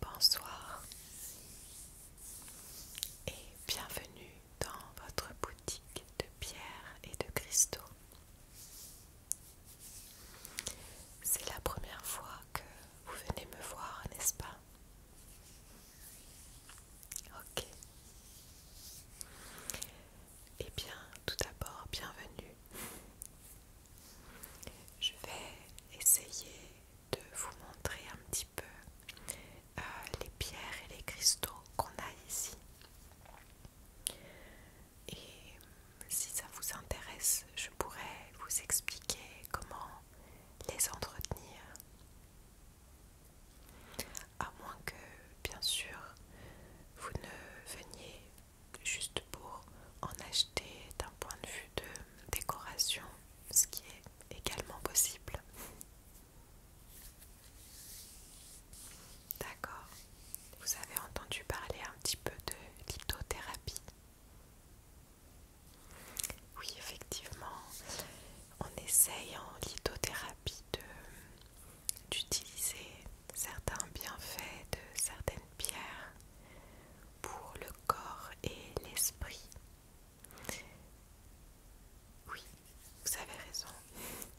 Bonsoir et bienvenue dans votre boutique de pierres et de cristaux. C'est la première fois que vous venez me voir, n'est-ce pas Ok. Eh bien, tout d'abord, bienvenue je vais essayer de vous montrer un petit peu euh, les pierres et les cristaux qu'on a ici. Et si ça vous intéresse, je pourrais vous expliquer comment les entretenir. À moins que, bien sûr, vous ne veniez juste pour en acheter d'un point de vue de décoration, ce qui est également possible. D'accord. Vous avez entendu parler un petit peu de lithothérapie Oui, effectivement, on essaye en lithothérapie d'utiliser certains bienfaits de certaines pierres pour le corps et l'esprit. Oui, vous avez raison,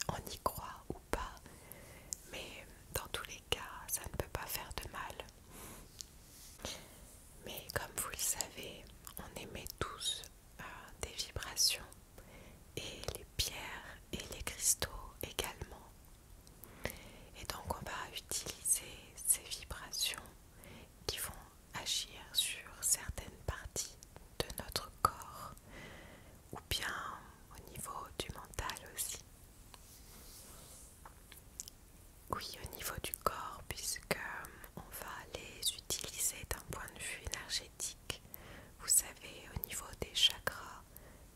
on y croit ou pas, mais dans tous les cas, ça ne peut pas faire de mal. Mais comme vous le savez, on émet tous euh, des vibrations et les pierres et les cristaux également et donc on va utiliser ces vibrations qui vont agir sur certaines parties de notre corps ou bien au niveau du mental aussi. Oui, au niveau du corps puisque euh, on va les utiliser d'un point de vue énergétique. Vous savez, au niveau des chakras,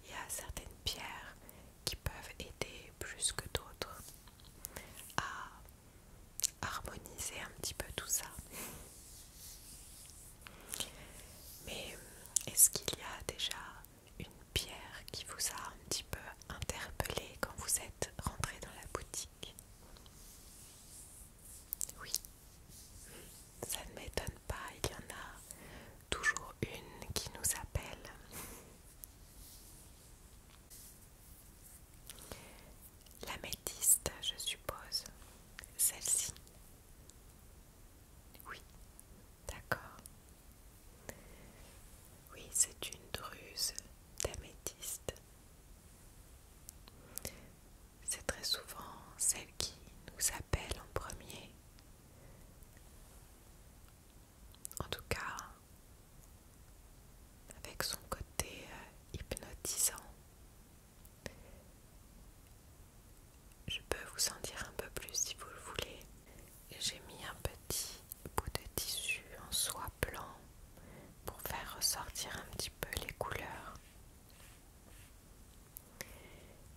il y a certaines pierres qui peuvent aider plus que d'autres à harmoniser un petit peu tout ça. Mais est-ce qu'il y a déjà une pierre qui vous a un petit peu interpellé quand vous êtes rentré dans la boutique Oui, ça ne m'étonne pas, il y en a toujours une qui nous appelle. La je suppose. Celle-ci. Oui, d'accord. Oui, c'est une druse d'améthyste. C'est très souvent celle qui nous appelle en premier. En tout cas, avec son côté euh, hypnotisant, je peux vous en dire un peu plus si vous le voulez. J'ai mis un petit bout de tissu en soie blanc pour faire ressortir un petit peu les couleurs.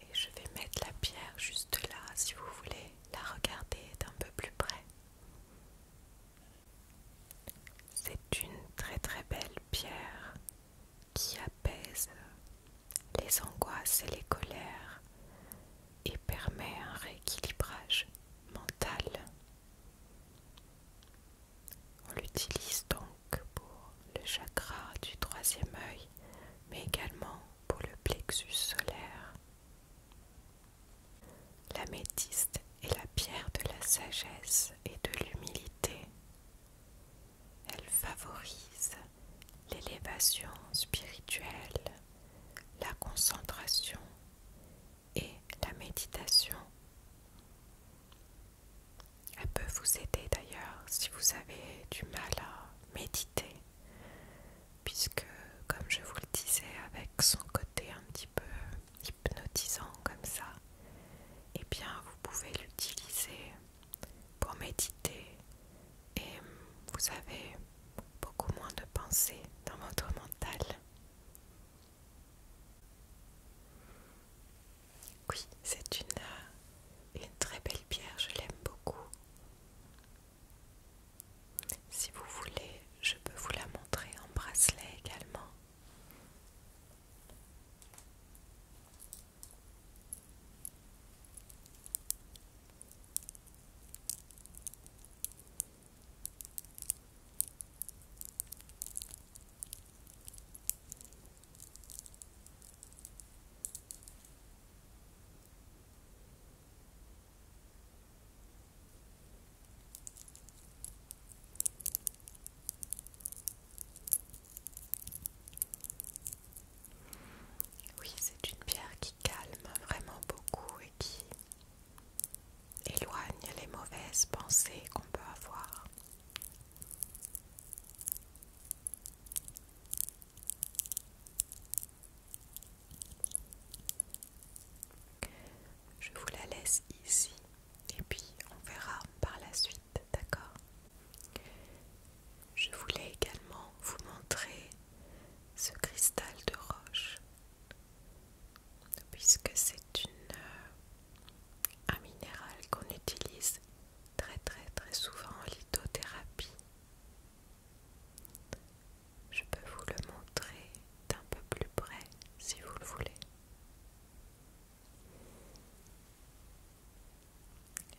Et je vais mettre la pierre juste là si vous voulez la regarder d'un peu plus près. C'est une très très belle pierre qui apaise les angoisses et les colères et permet un rééquilibrage mental. On l'utilise donc pour le chakra du troisième œil, mais également pour le plexus solaire. La métiste est la pierre de la sagesse et de l'humilité. Elle favorise l'élévation spirituelle, la concentration et la méditation. Elle peut vous aider d'ailleurs si vous avez du mal à méditer puisque comme je vous le disais avec son côté un petit peu hypnotisant comme ça, et eh bien vous pouvez l'utiliser pour méditer et vous avez beaucoup moins de pensées dans votre mental. Oui, c'est une, une très belle pierre, je l'aime beaucoup. Si vous voulez, je peux vous la montrer en bracelet également. Oui, c'est une pierre qui calme vraiment beaucoup et qui éloigne les mauvaises pensées qu'on peut avoir. Je vous la laisse ici et puis on verra par la suite, d'accord Je voulais également vous montrer ce cristal de roche puisque c'est euh, un minéral qu'on utilise très très très souvent en lithothérapie je peux vous le montrer d'un peu plus près si vous le voulez.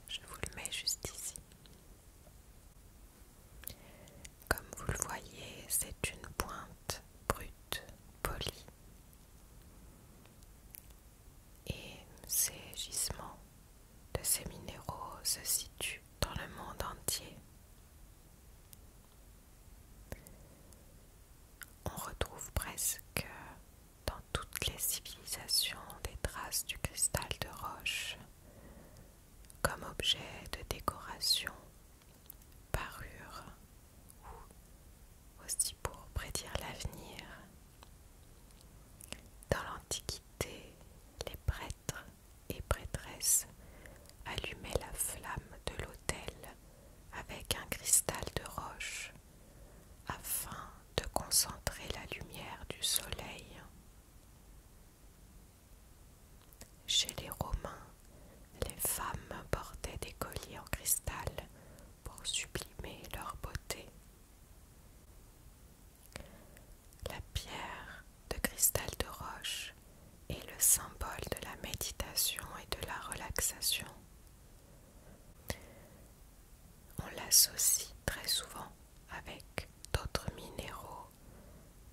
Je vous le mets juste ici. Comme vous le voyez, c'est une pointe brute, polie et ces gisements de ces minéraux se situent dans le monde entier. On retrouve presque dans toutes les civilisations des traces du cristal de roche comme objet de décoration, parure ou aussi pour prédire l'avenir. Dans l'Antiquité, les prêtres et prêtresses allumaient la flamme de l'autel avec un cristal de roche afin de concentrer la lumière du soleil. Chez les Romains, les femmes portaient des colliers en cristal pour sublimer leur beauté. La pierre de cristal de roche est le symbole de la méditation et de la relaxation. On l'associe très souvent avec d'autres minéraux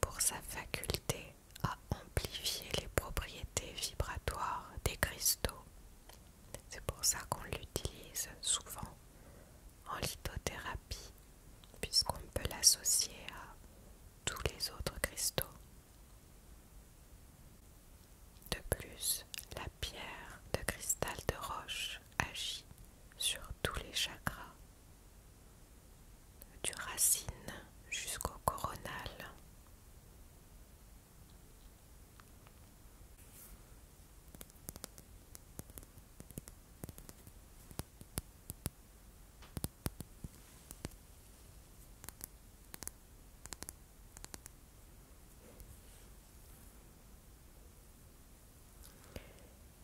pour sa faculté à amplifier les propriétés vibratoires des cristaux. C'est pour ça qu'on l'utilise souvent en lithothérapie, puisqu'on peut l'associer à tous les autres cristaux. De plus, la pierre de cristal de roche agit sur tous les chakras, du racine jusqu'au coronal.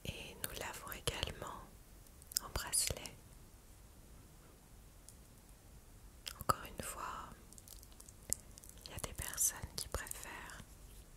Et nous l'avons également en bracelet. Encore une fois, il y a des personnes qui préfèrent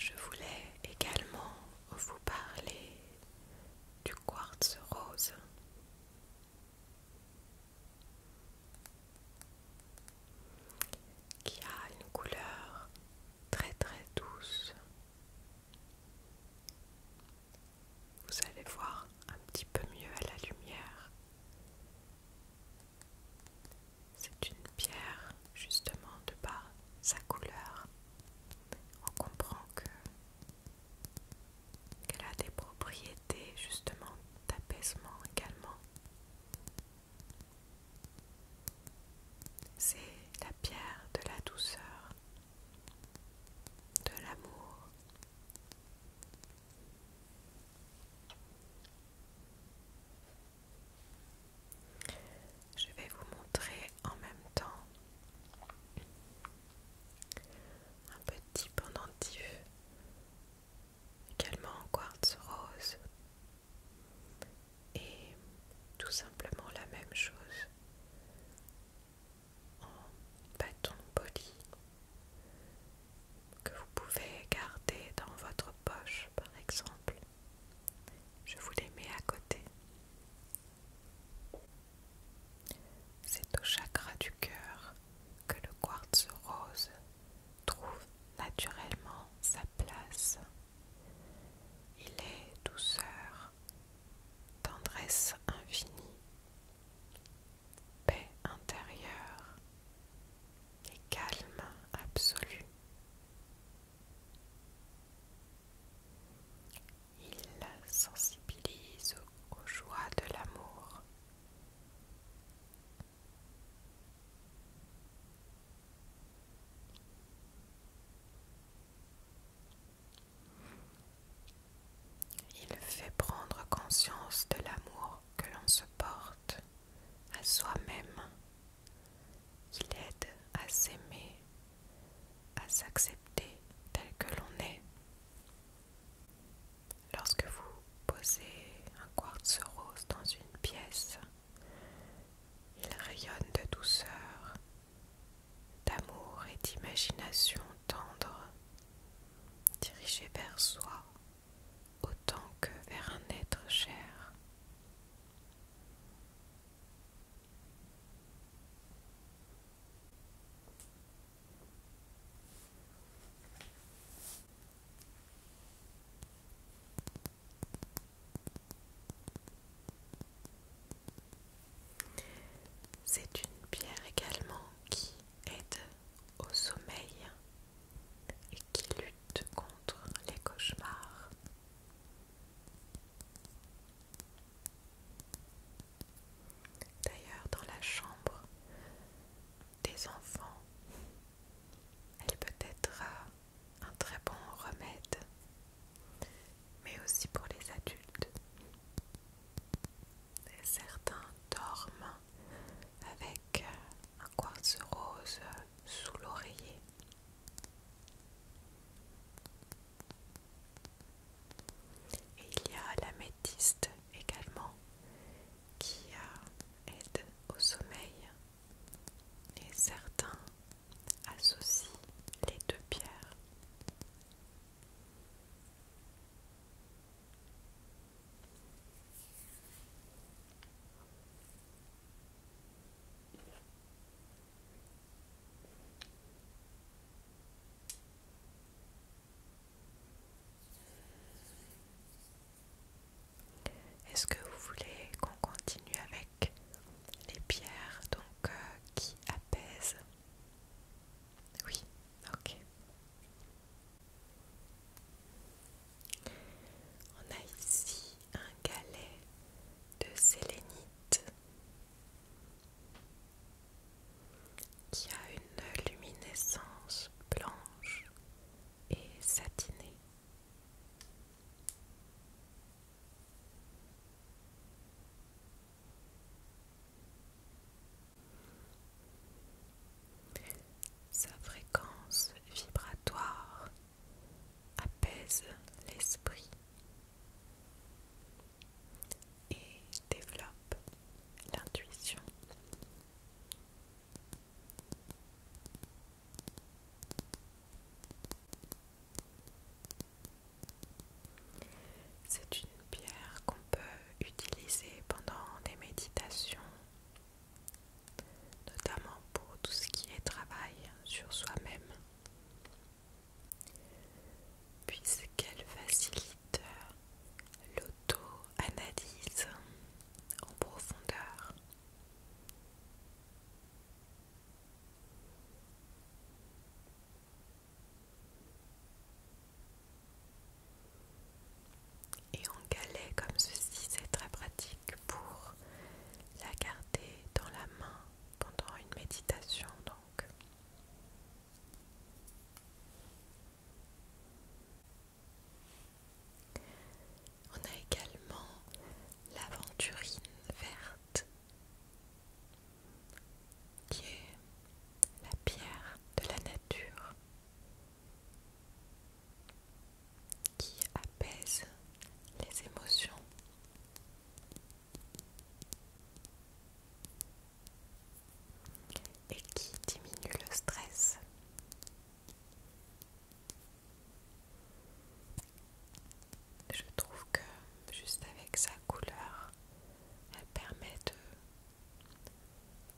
Je voulais également vous parler du quartz rose qui a une couleur très très douce. Vous allez voir un petit peu mieux à la lumière. C'est une pierre justement de par sa couleur. On comprend que qu'elle a des propriétés justement d'apaisement également. C'est la pierre de la douceur, de l'amour. Je vais vous montrer en même temps un petit pendentif également en quartz rose et tout simplement la même chose en bâton poli que vous pouvez garder dans votre poche par exemple. Je vous les mets à côté. C'est au chakra du cœur que le quartz rose trouve naturellement sa place. Il est douceur, tendresse infinie, paix intérieure et calme absolu. Il sensibilise aux joies de l'amour il fait prendre conscience de l'amour que l'on se porte à soi-même. Il aide à s'aimer, à s'accepter tel que l'on est. Lorsque vous posez un quartz rose dans une pièce, il rayonne de douceur, d'amour et d'imagination tendre, dirigé vers soi autant que vers un être cher. C'est une pierre également qui aide au sommeil et qui lutte contre les cauchemars. D'ailleurs, dans la chambre des enfants, elle peut être euh, un très bon remède, mais aussi pour les adultes. Certains dorment avec euh, un quartz rose sous l'oreiller. Et il y a l'améthyste également qui aide au sommeil. Et certains associent les deux pierres. Est-ce que vous voulez qu'on continue avec les pierres donc euh, qui apaisent Oui, ok. On a ici un galet de sélénite qui a une luminescence blanche et satinée. Sa fréquence vibratoire apaise l'esprit et développe l'intuition. C'est une pierre qu'on peut utiliser pendant des méditations, notamment pour tout ce qui est travail sur soi-même puisqu'elle facilite l'auto-analyse en profondeur. Et en galet comme ceci, c'est très pratique pour la garder dans la main pendant une méditation donc. On a également l'aventurine verte qui est la pierre de la nature qui apaise les émotions et qui diminue le stress. Je trouve que juste avec sa couleur, elle permet de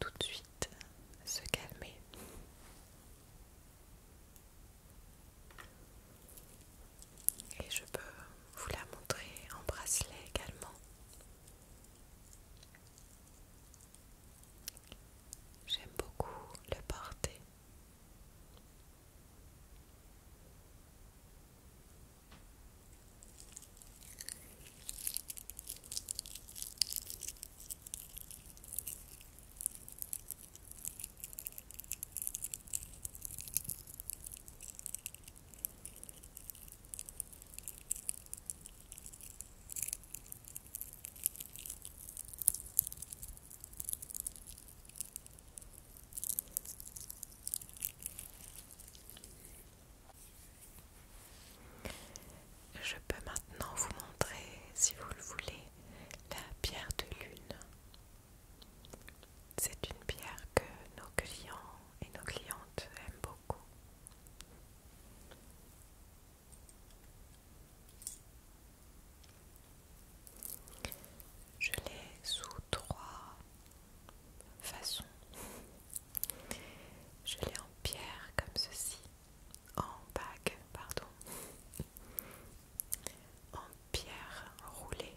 tout de suite se calmer. Et je peux vous la montrer en bracelet également. J'aime beaucoup le porter. Je peux maintenant vous montrer, si vous le voulez, la pierre de lune. C'est une pierre que nos clients et nos clientes aiment beaucoup. Je l'ai sous trois façons. Je l'ai en pierre comme ceci, en bague, pardon, en pierre roulée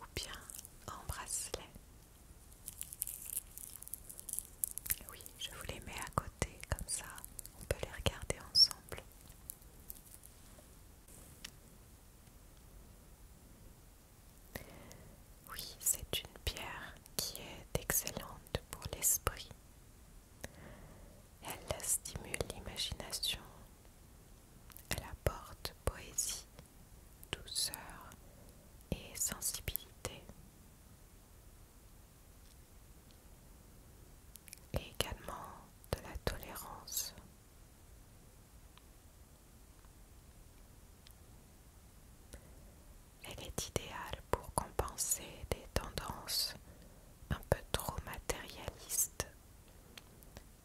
ou bien en bracelet. Oui, je vous les mets à côté, comme ça on peut les regarder ensemble. Oui, c'est une pierre qui est excellente pour l'esprit. Elle stimule l'imagination elle apporte poésie, douceur et sensibilité. Et également de la tolérance. Elle est idéale pour compenser des tendances un peu trop matérialistes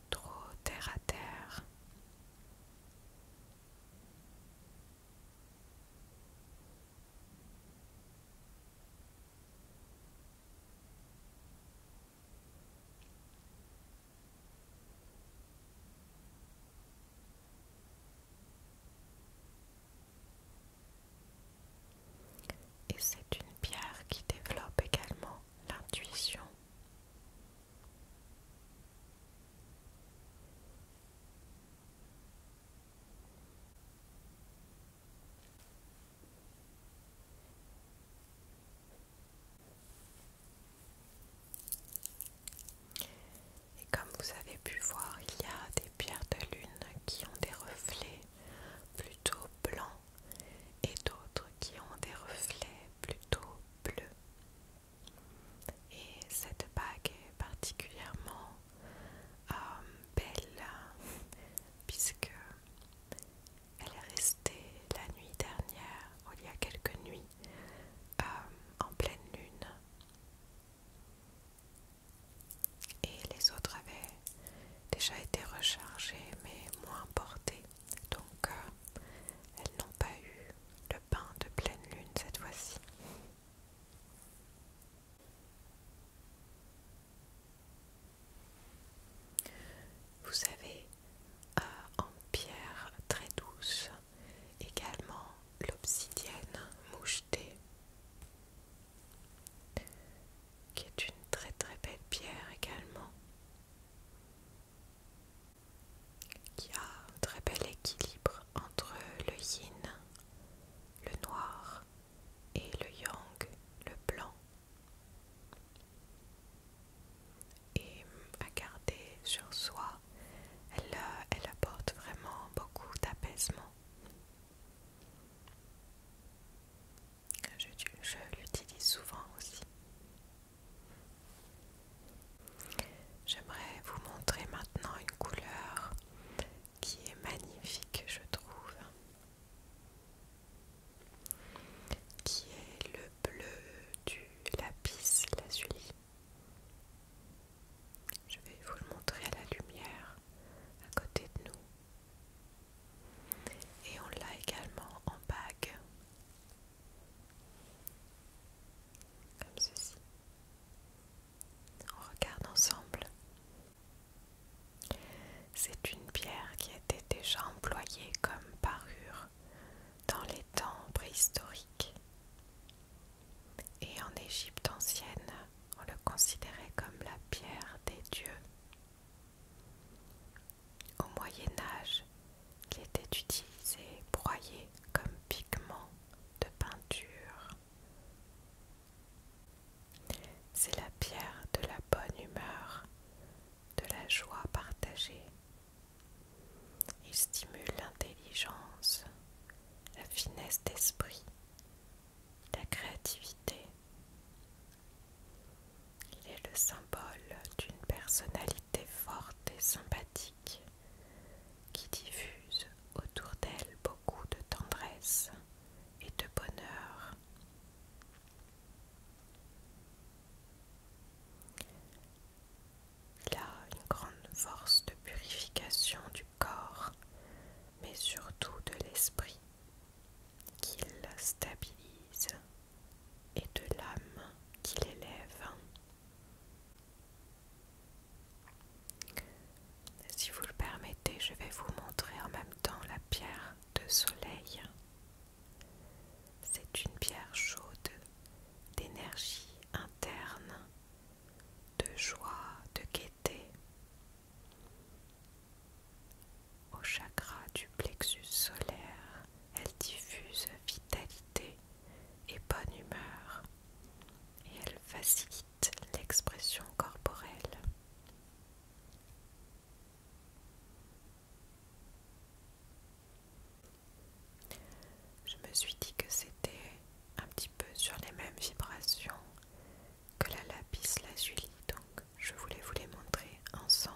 trop terre à terre. Et c'est une pierre qui développe également l'intuition. Et comme vous avez pu voir, il y a des pierres de lune qui ont des reflets plutôt blancs et d'autres qui ont des reflets plutôt bleu. Et cette bague est particulièrement euh, belle puisque elle est restée la nuit dernière, ou il y a quelques nuits, euh, en pleine lune. Et les autres avaient déjà été rechargées mais moins portées donc, euh, elles n'ont pas eu le pain de pleine lune cette fois-ci. Vous savez, euh, en pierre très douce, également l'obsidienne mouchetée, qui est une très très belle pierre également qui a un très bel équilibre entre le yin, le noir et le yang, le blanc. Et à garder sur soi, elle euh, apporte vraiment beaucoup d'apaisement. Je, l'utilise souvent aussi. J'aimerais vous montrer maintenant une couleur qui est magnifique, je trouve, qui est le bleu du lapis lazuli. Je vais vous le montrer à la lumière à côté de nous. Et on l'a également en bague. Comme ceci. On regarde ensemble. C'est une pierre qui était déjà employée comme parure dans les temps préhistoriques. Et en Égypte ancienne, on le considérait comme la pierre des dieux. Au Moyen Âge, il était utilisé, broyé comme pigment de peinture. C'est la pierre de la bonne humeur, de la joie partagée. Il stimule l'intelligence, la finesse d'esprit, la créativité, il est le symbole d'une personnalité forte et sympathique qui diffuse autour d'elle beaucoup de tendresse et de bonheur. Il a une grande force de purification du corps, mais surtout de l'esprit, qui qu'il stabilise et de l'âme qui l'élève. Si vous le permettez, je vais vous montrer en même temps la pierre de soleil. C'est une pierre chaude d'énergie interne, de joie, de gaieté. Au chakra du plexus solaire, elle diffuse vitalité et bonne humeur et elle facilite l'expression corporelle. Je me suis dit que c'était un petit peu sur les mêmes vibrations que la lapis lazuli, donc je voulais vous les montrer ensemble.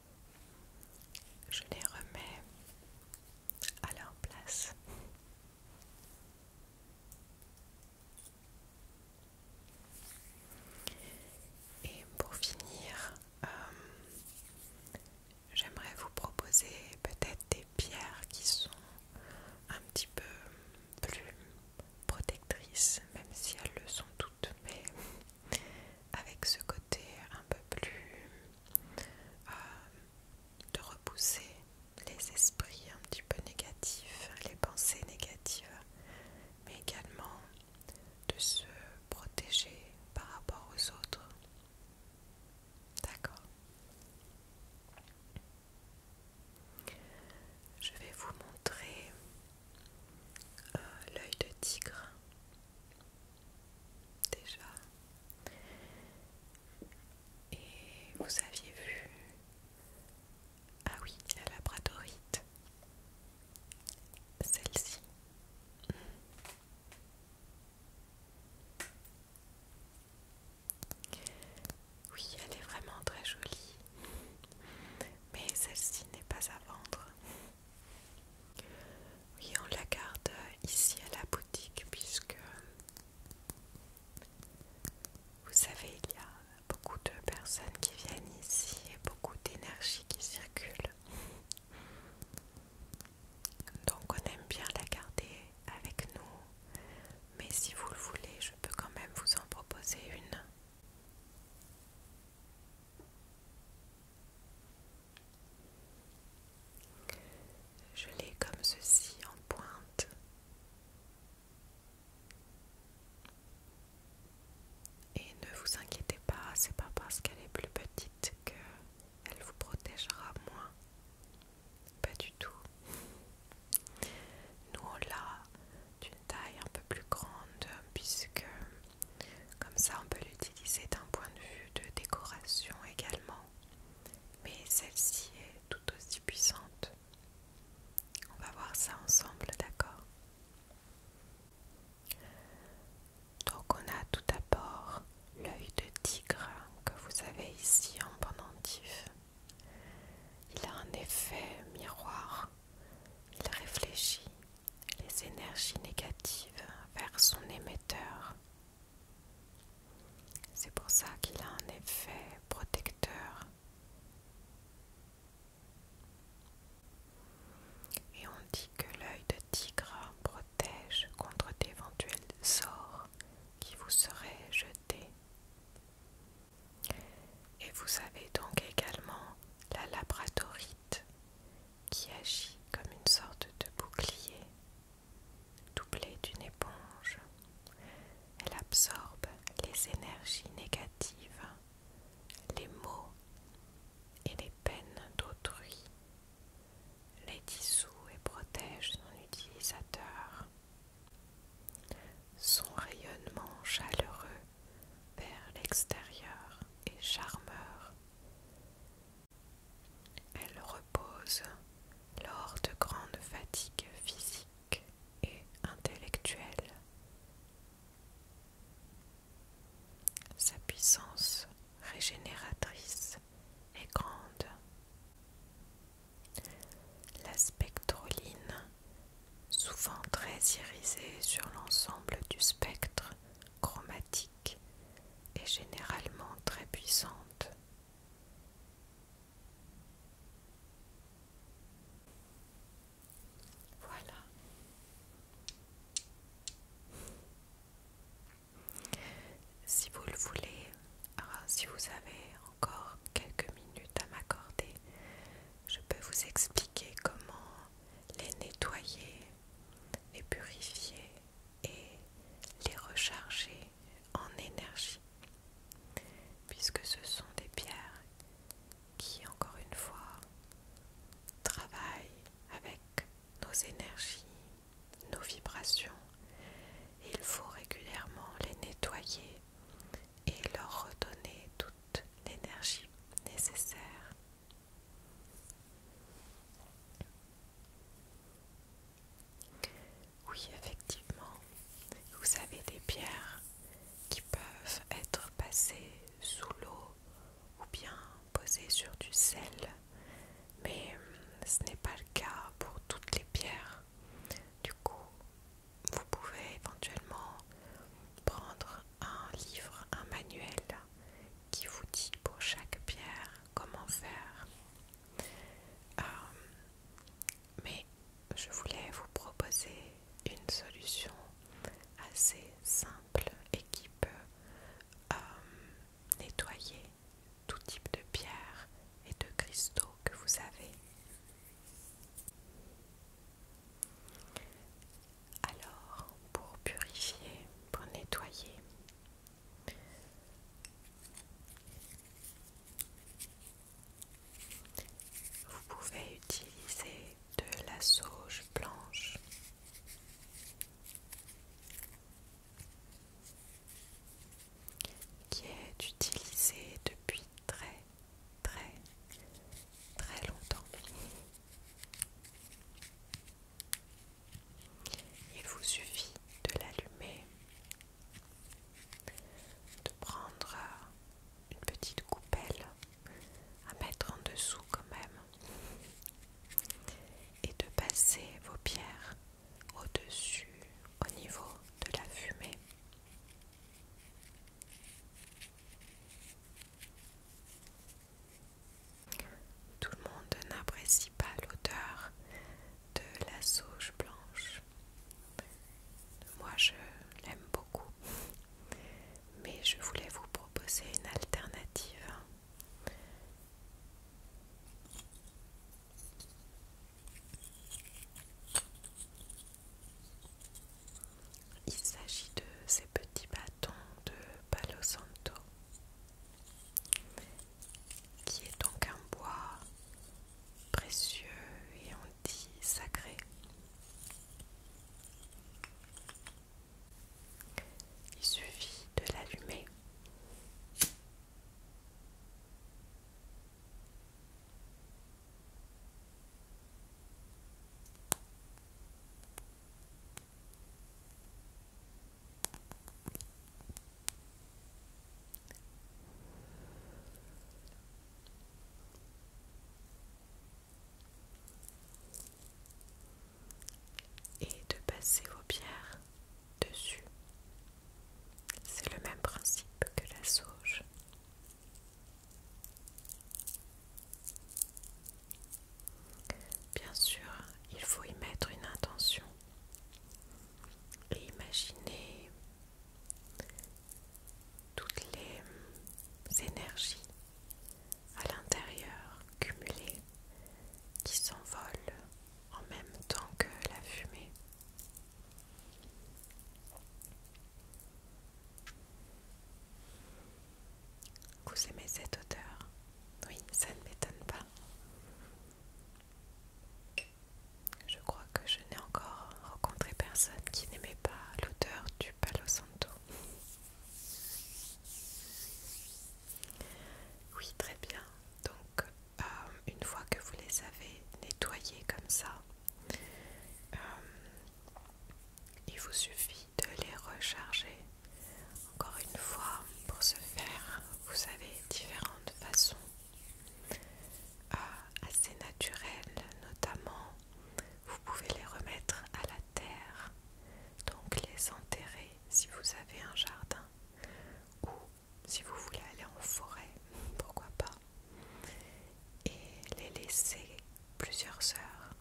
Je les remets à leur place. Et pour finir, euh, j'aimerais vous proposer peut-être des pierres qui sont un petit peu plus protectrices, même si elles le sont toutes, mais avec ce côté un peu plus euh, de repousser les esprits un petit peu négatifs, les pensées négatives, mais également de se protéger par rapport aux autres. D'accord Je vais vous montrer euh, l'œil de tigre déjà. Et vous aviez vu... Ah oui, la labradorite. Celle-ci. Mm. Oui, elle est vraiment très jolie. Mais celle-ci n'est pas à vendre. Oui, on la garde euh, ici à la boutique puisque vous savez, il y a beaucoup de personnes qui viennent ici et beaucoup d'énergie qui circule. Donc on aime bien la garder avec nous. Mais si vous le voulez, je peux quand même vous en proposer une. Je l'ai comme ceci en pointe. Et ne vous inquiétez pas, c'est pas parce qu'elle est plus petite qu'elle vous protégera moins. Pas du tout. Nous on l'a d'une taille un peu plus grande puisque comme ça, on peut l'utiliser d'un point de vue de décoration également. Mais celle-ci est tout aussi puissante. On va voir ça ensemble, d'accord Donc on a tout d'abord l'œil de tigre que vous avez ici en pendentif. Il a un effet miroir. Il réfléchit les énergies négatives vers son émetteur. C'est pour ça qu'il a un effet protecteur. Et on dit que l'œil de tigre protège contre d'éventuels sorts qui vous seraient jetés. Et vous avez donc également la labradorite qui agit comme une sorte de bouclier, doublé d'une éponge. Elle absorbe les énergies négatives, les maux et les peines d'autrui, les dissout et protège son utilisateur. Son rayonnement chaleureux vers l'extérieur est charmeur elle repose lors de grandes fatigues physiques et intellectuelles. Sa puissance régénératrice est grande. La spectroline, souvent très irisée sur l'ensemble du spectre chromatique, est généralement très puissante. Voilà. Si vous le voulez, ah, si vous avez encore quelques minutes à m'accorder, je peux vous expliquer comment les nettoyer, les purifier et les recharger en énergie, puisque ce sont des pierres qui, encore une fois, travaillent avec nos énergies, nos vibrations. Il faut régulièrement les nettoyer et leur redonner toute l'énergie nécessaire oui, effectivement, vous avez des pierres qui peuvent être passées sous l'eau ou bien posées sur du sel, mais hum, ce n'est pas le cas pour toutes les pierres. Du coup, vous pouvez éventuellement prendre un livre, un manuel qui vous dit pour chaque pierre comment faire. Euh, mais je voulais vous proposer une solution assez simple et qui peut euh, nettoyer tout type de pierre et de cristaux que vous avez. Alors, pour purifier, pour nettoyer, vous pouvez utiliser de la sauge blanche. Qui est utilisée depuis très très très longtemps. Il vous suffit de l'allumer, de prendre une petite coupelle à mettre en dessous quand même et de passer vos pierres au-dessus au niveau de la fumée. Tout le monde n'apprécie pas l'odeur de la sauge blanche. Moi, je l'aime beaucoup, mais je voulais vous proposer une alternative. Il s'agit de ces petits bâtons de Palo Santo, qui est donc un bois précieux et on dit sacré. Il suffit de l'allumer et de passer vos pierres dessus. C'est le même principe que la sauge. Bien sûr, il faut y mettre une intention et imaginer toutes les énergies à l'intérieur cumulées qui s'envolent en même temps que la fumée vous aimez cette odeur Oui, ça ne m'étonne pas. Je crois que je n'ai encore rencontré personne qui n'aimait pas l'odeur du Palo Santo. Oui, très bien. Donc, euh, une fois que vous les avez nettoyés comme ça, euh, il vous suffit de les recharger. Encore une fois, pour ce faire, vous avez différentes façons euh, assez naturelles, notamment vous pouvez les remettre à la terre, donc les enterrer si vous avez un jardin ou si vous voulez aller en forêt, pourquoi pas, et les laisser plusieurs heures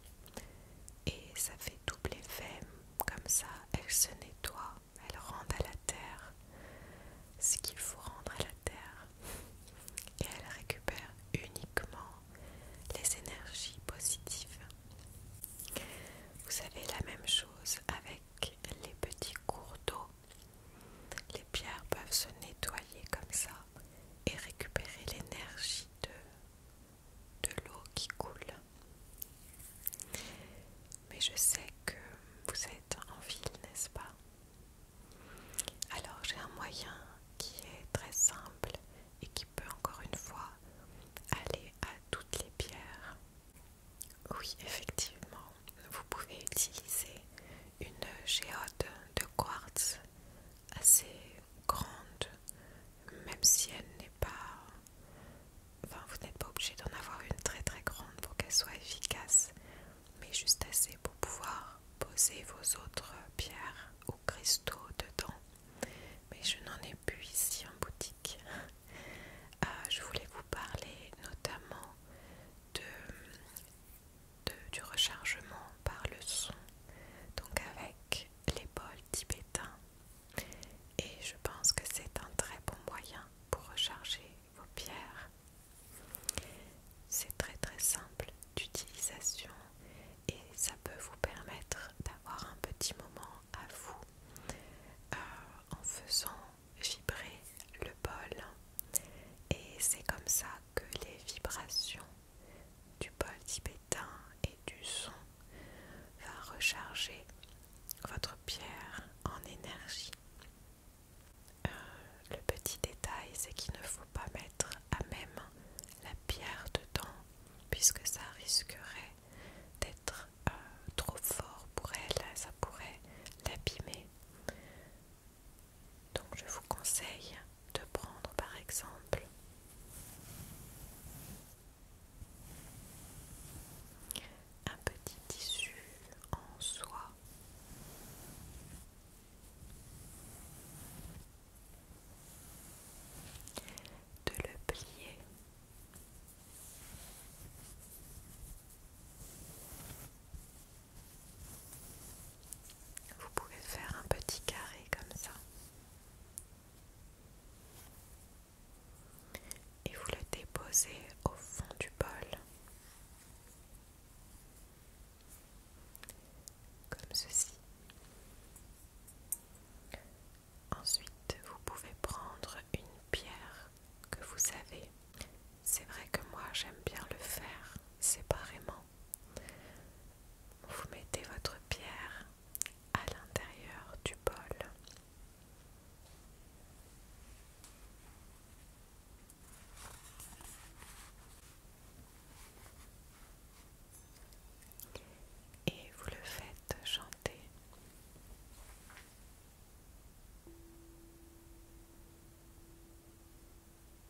et ça fait double effet comme ça elle se nettoie elle rendent à la terre ce qu'il faut rendre à la terre et elle récupère uniquement les énergies positives vous savez la même chose avec les petits cours d'eau les pierres peuvent se nettoyer comme ça et récupérer l'énergie de de l'eau qui coule. Mais je sais que vous êtes en ville, n'est-ce pas Alors j'ai un moyen qui est très simple et qui peut encore une fois aller à toutes les pierres. Oui, effectivement, vous pouvez utiliser une géode de quartz assez grande même si elle n'est pas... Enfin, vous n'êtes pas obligé d'en avoir une très très grande pour qu'elle soit efficace, mais juste assez pour pouvoir poser vos autres pierres ou cristaux dedans. Mais je n'en ai plus ici en boutique. Euh, je voulais vous parler notamment de, du rechargement par le son, donc avec les bols tibétains. Et je pense que c'est un très bon moyen pour recharger vos pierres. C'est très très simple d'utilisation et ça peut vous permettre d'avoir un petit moment à vous euh, en faisant vibrer le bol. Et c'est comme ça que les vibrations du bol tibétain et du son va recharger votre pierre en énergie. Euh, le petit détail, c'est qu'il ne faut pas mettre à même la pierre dedans, puisque ça risquerait d'être euh, trop fort pour elle, ça pourrait l'abîmer. Donc je vous conseille de prendre par exemple un petit tissu en soie de le plier vous pouvez faire un petit carré comme ça et vous le déposez au fond du bol comme ceci. Ensuite, vous pouvez prendre une pierre que vous savez. C'est vrai que moi j'aime bien le faire séparément vous mettez votre pierre à l'intérieur du bol. Et vous le faites chanter.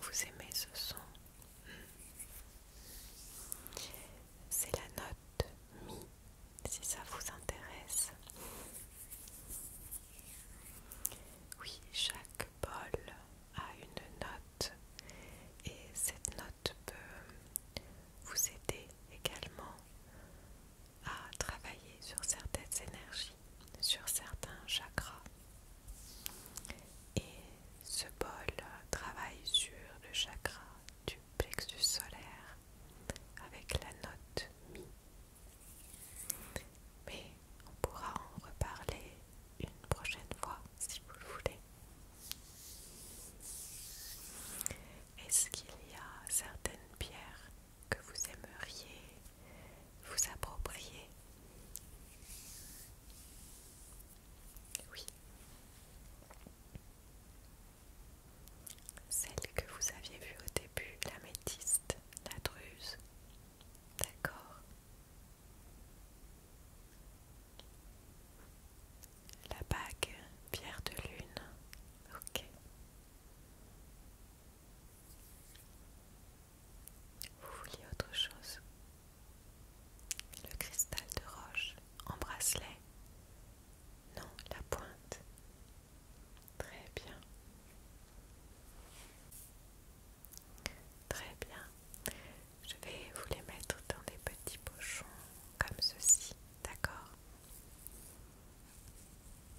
Vous aimez ce son C'est la note Mi, si ça vous intéresse. Oui, chaque bol a une note et cette note peut vous aider également à travailler sur certaines énergies, sur certains chakras. Et ce bol travaille sur le chakra du plexus solaire avec la note Mi. Mais on pourra en reparler une prochaine fois si vous le voulez. Est-ce qu'il y a certaines pierres que vous aimeriez vous approprier. Oui. Celle que vous aviez vue au début, la métiste, la druse. D'accord. La bague, pierre de lune. Ok. Vous vouliez autre chose Le cristal de roche en bracelet Non, la pointe. Très bien. Très bien. Je vais vous les mettre dans des petits pochons comme ceci, d'accord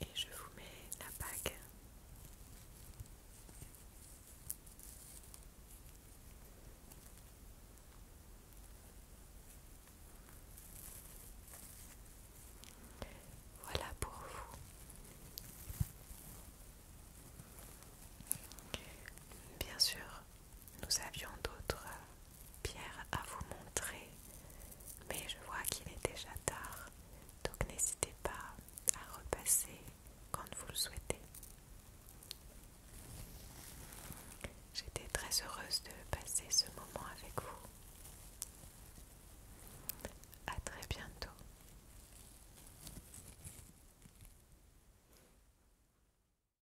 Et je vous mets la bague. Voilà pour vous. Bien sûr, nous avions d'autres Pierre à vous montrer, mais je vois qu'il est déjà tard, donc n'hésitez pas à repasser quand vous le souhaitez. J'étais très heureuse de passer ce moment avec vous. À très bientôt.